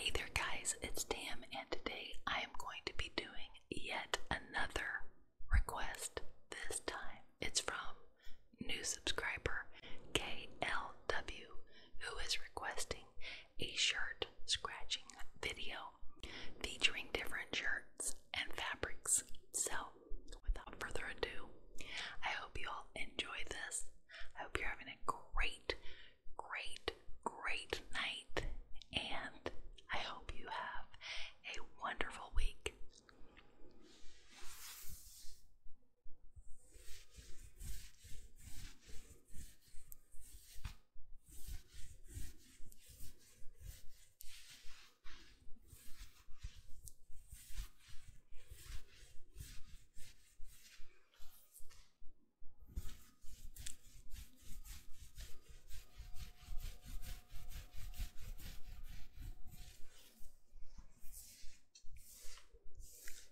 Hey there guys, it's Tam and today I am going to be doing yet another request. This time it's from new subscriber KLW who is requesting a shirt scratching video featuring different shirts and fabrics. So without further ado, I hope you all enjoy this. I hope you're having a great, great, great night, and I hope you have a wonderful week.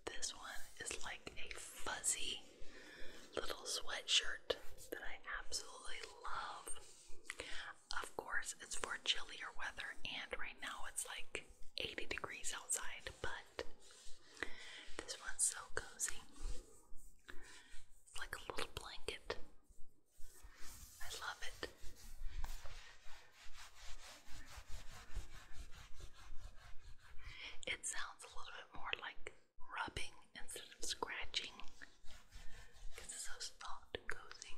This one is like a fuzzy little sweatshirt that I absolutely love. Of course, it's for chillier weather, and right now it's like 80 degrees outside, but this one's so cozy. It's like a little blanket. I love it. It sounds a little bit more like rubbing instead of scratching, because it's so soft and cozy.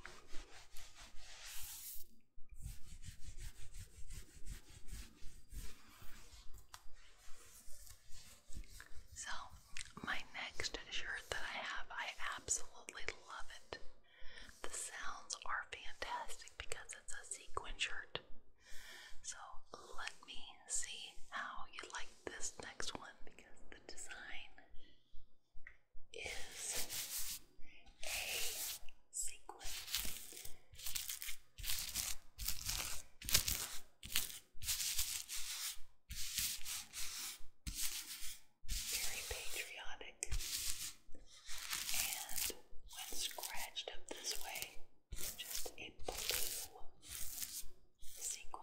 So, my next shirt that I have, I absolutely love it. The sounds are fantastic because it's a sequin shirt. So, let me see how you like this next one because the design is a sequin. Very patriotic, and when scratched up this way, it's just a blue sequin.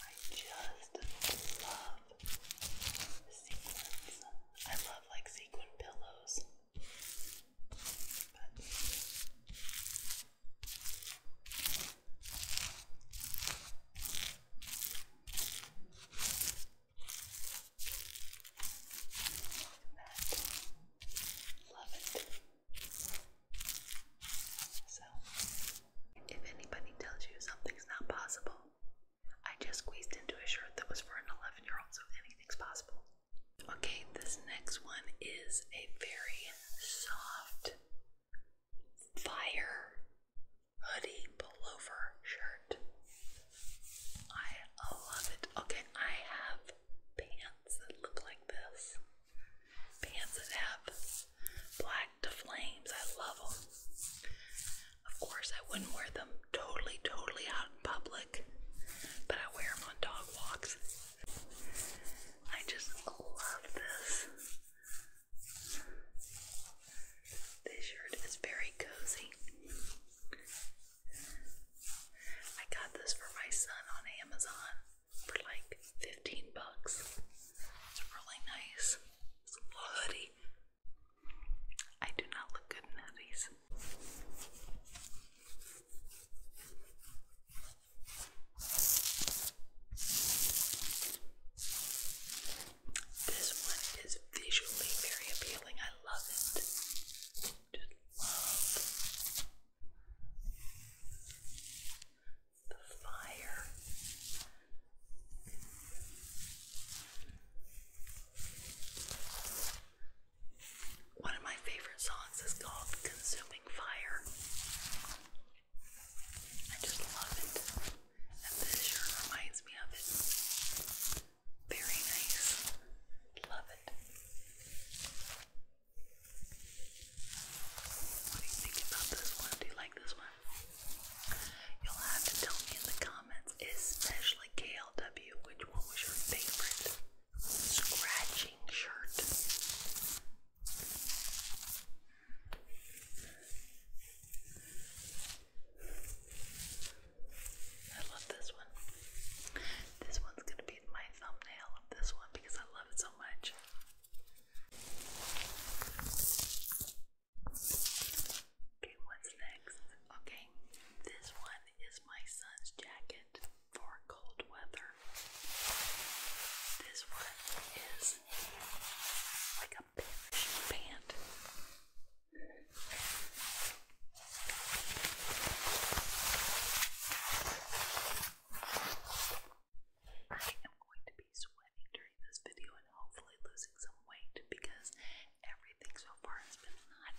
I just love sequins. I love like sequin pillows. But Love it. So, if anybody tells you something's not possible, I just squeezed into a shirt that was for an 11 year old, so anything's possible. Okay, this next one is a very soft fire hoodie pullover shirt. I love it. Okay, I have pants that look like this. Pants that have black flames. I love them. Of course, I wouldn't wear them totally, totally out in public, but I wear them on dog walks. I just love this. This shirt is very cozy. I got this for my son on Amazon for like 15 bucks. It's really nice. It's a little hoodie. I do not look good in hoodies. This one is visually very appealing. I love it. Just love the fire. One of my favorite songs is called Consuming Fire. I just love it. And this sure reminds me of it. Very nice. Love it. What do you think about this one? Do you like this one? You'll have to tell me in the comments, especially KLW, which one was your favorite scratching shirt. I love this one. This one's going to be my thumbnail of this one because I love it so much. Okay, what's next? Okay, this one is my son's jacket for cold weather. This one is like a parachute pant. I am going to be sweating during this video and hopefully losing some weight because everything so far has been hot.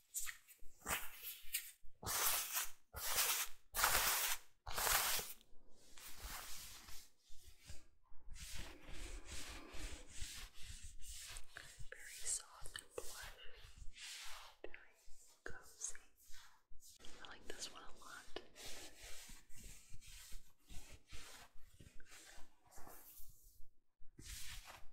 Very soft and plush, very cozy. I like this one a lot. Very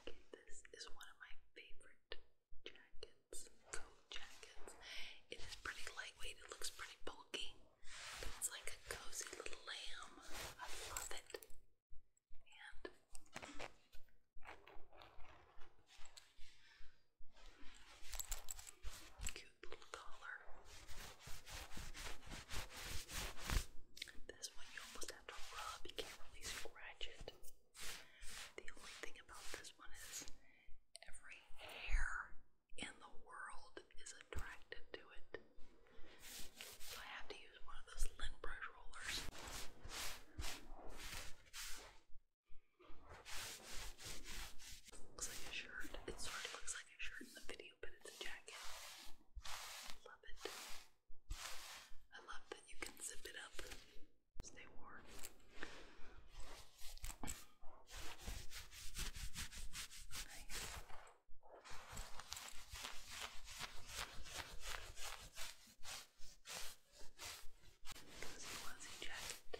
Okay, this is one of my favorite jackets, coat jackets. It is pretty lightweight, it looks pretty bulky. But it's like a cozy little lamb. I love it. And cute little collar. This one you almost have to rub, you can't really scratch it. The only thing about this one is every hair in the world is attracted to it. So I have to use one of those lint brush rollers. Looks like a shirt. It sort looks like a shirt in the video, but it's a jacket. Love it. I love that you can zip it up. Stay warm. Nice. Cozy wozy jacket.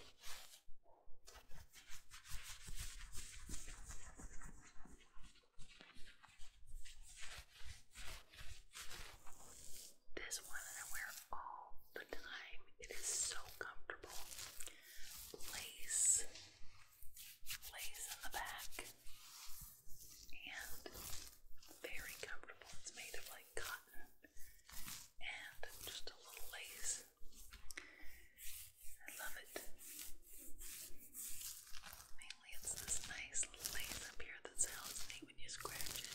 This one I wear all the time. It is so comfortable. Lace, lace in the back, and very comfortable. It's made of like cotton and just a little lace. I love it. Mainly, it's this nice lace up here that sounds neat when you scratch it.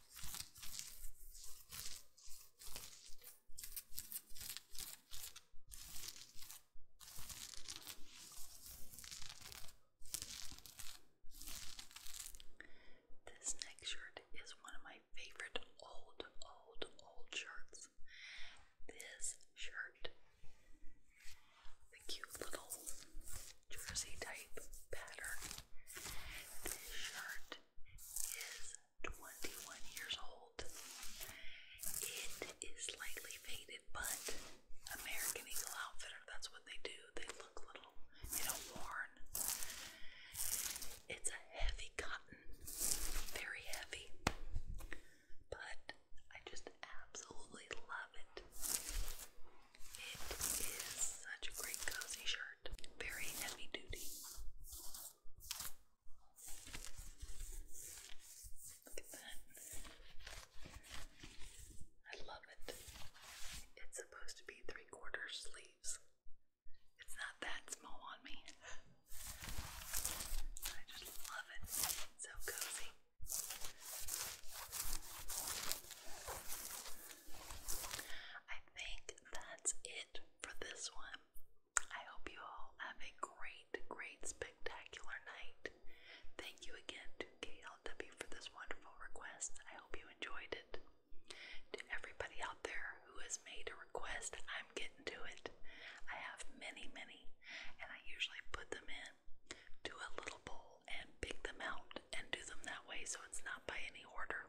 This next shirt is one of my favorite old, old, old shirts. This shirt, the cute little jersey type pattern. This shirt is 21 years old. It is slightly faded, but American Eagle Outfitter, that's what they do. They look little, you know, worn. It's a heavy cotton, very heavy, but I just absolutely love it. It is such a great cozy shirt. Very heavy duty. Look at that. I love it. It's supposed to be three quarter sleeves. It's not that small on me. I just love it. so cozy. I think that's it for this one. I hope you all have a great, great, spectacular night. Thank you again to KLW for this wonderful request. I hope you enjoyed it. To everybody out there who has made a request, I'm getting to it. I have many, many, and I usually put them in to a little bowl and pick them out and do them that way so it's not by any order,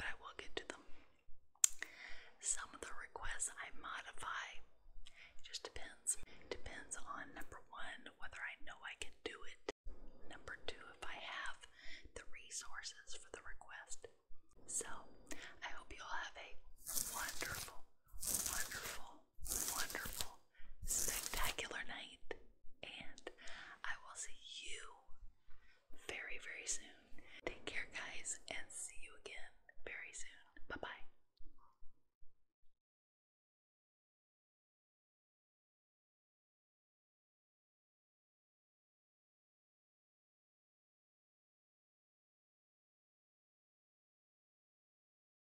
but I will get to them. Some of the requests I modify. It just depends. depends on number one, whether I know I can do it. Number two, if I have the resources for the request. So I hope you all have a wonderful, wonderful wonderful, spectacular night, and I will see you very, very soon. Take care, guys, and see you again very soon. Bye bye.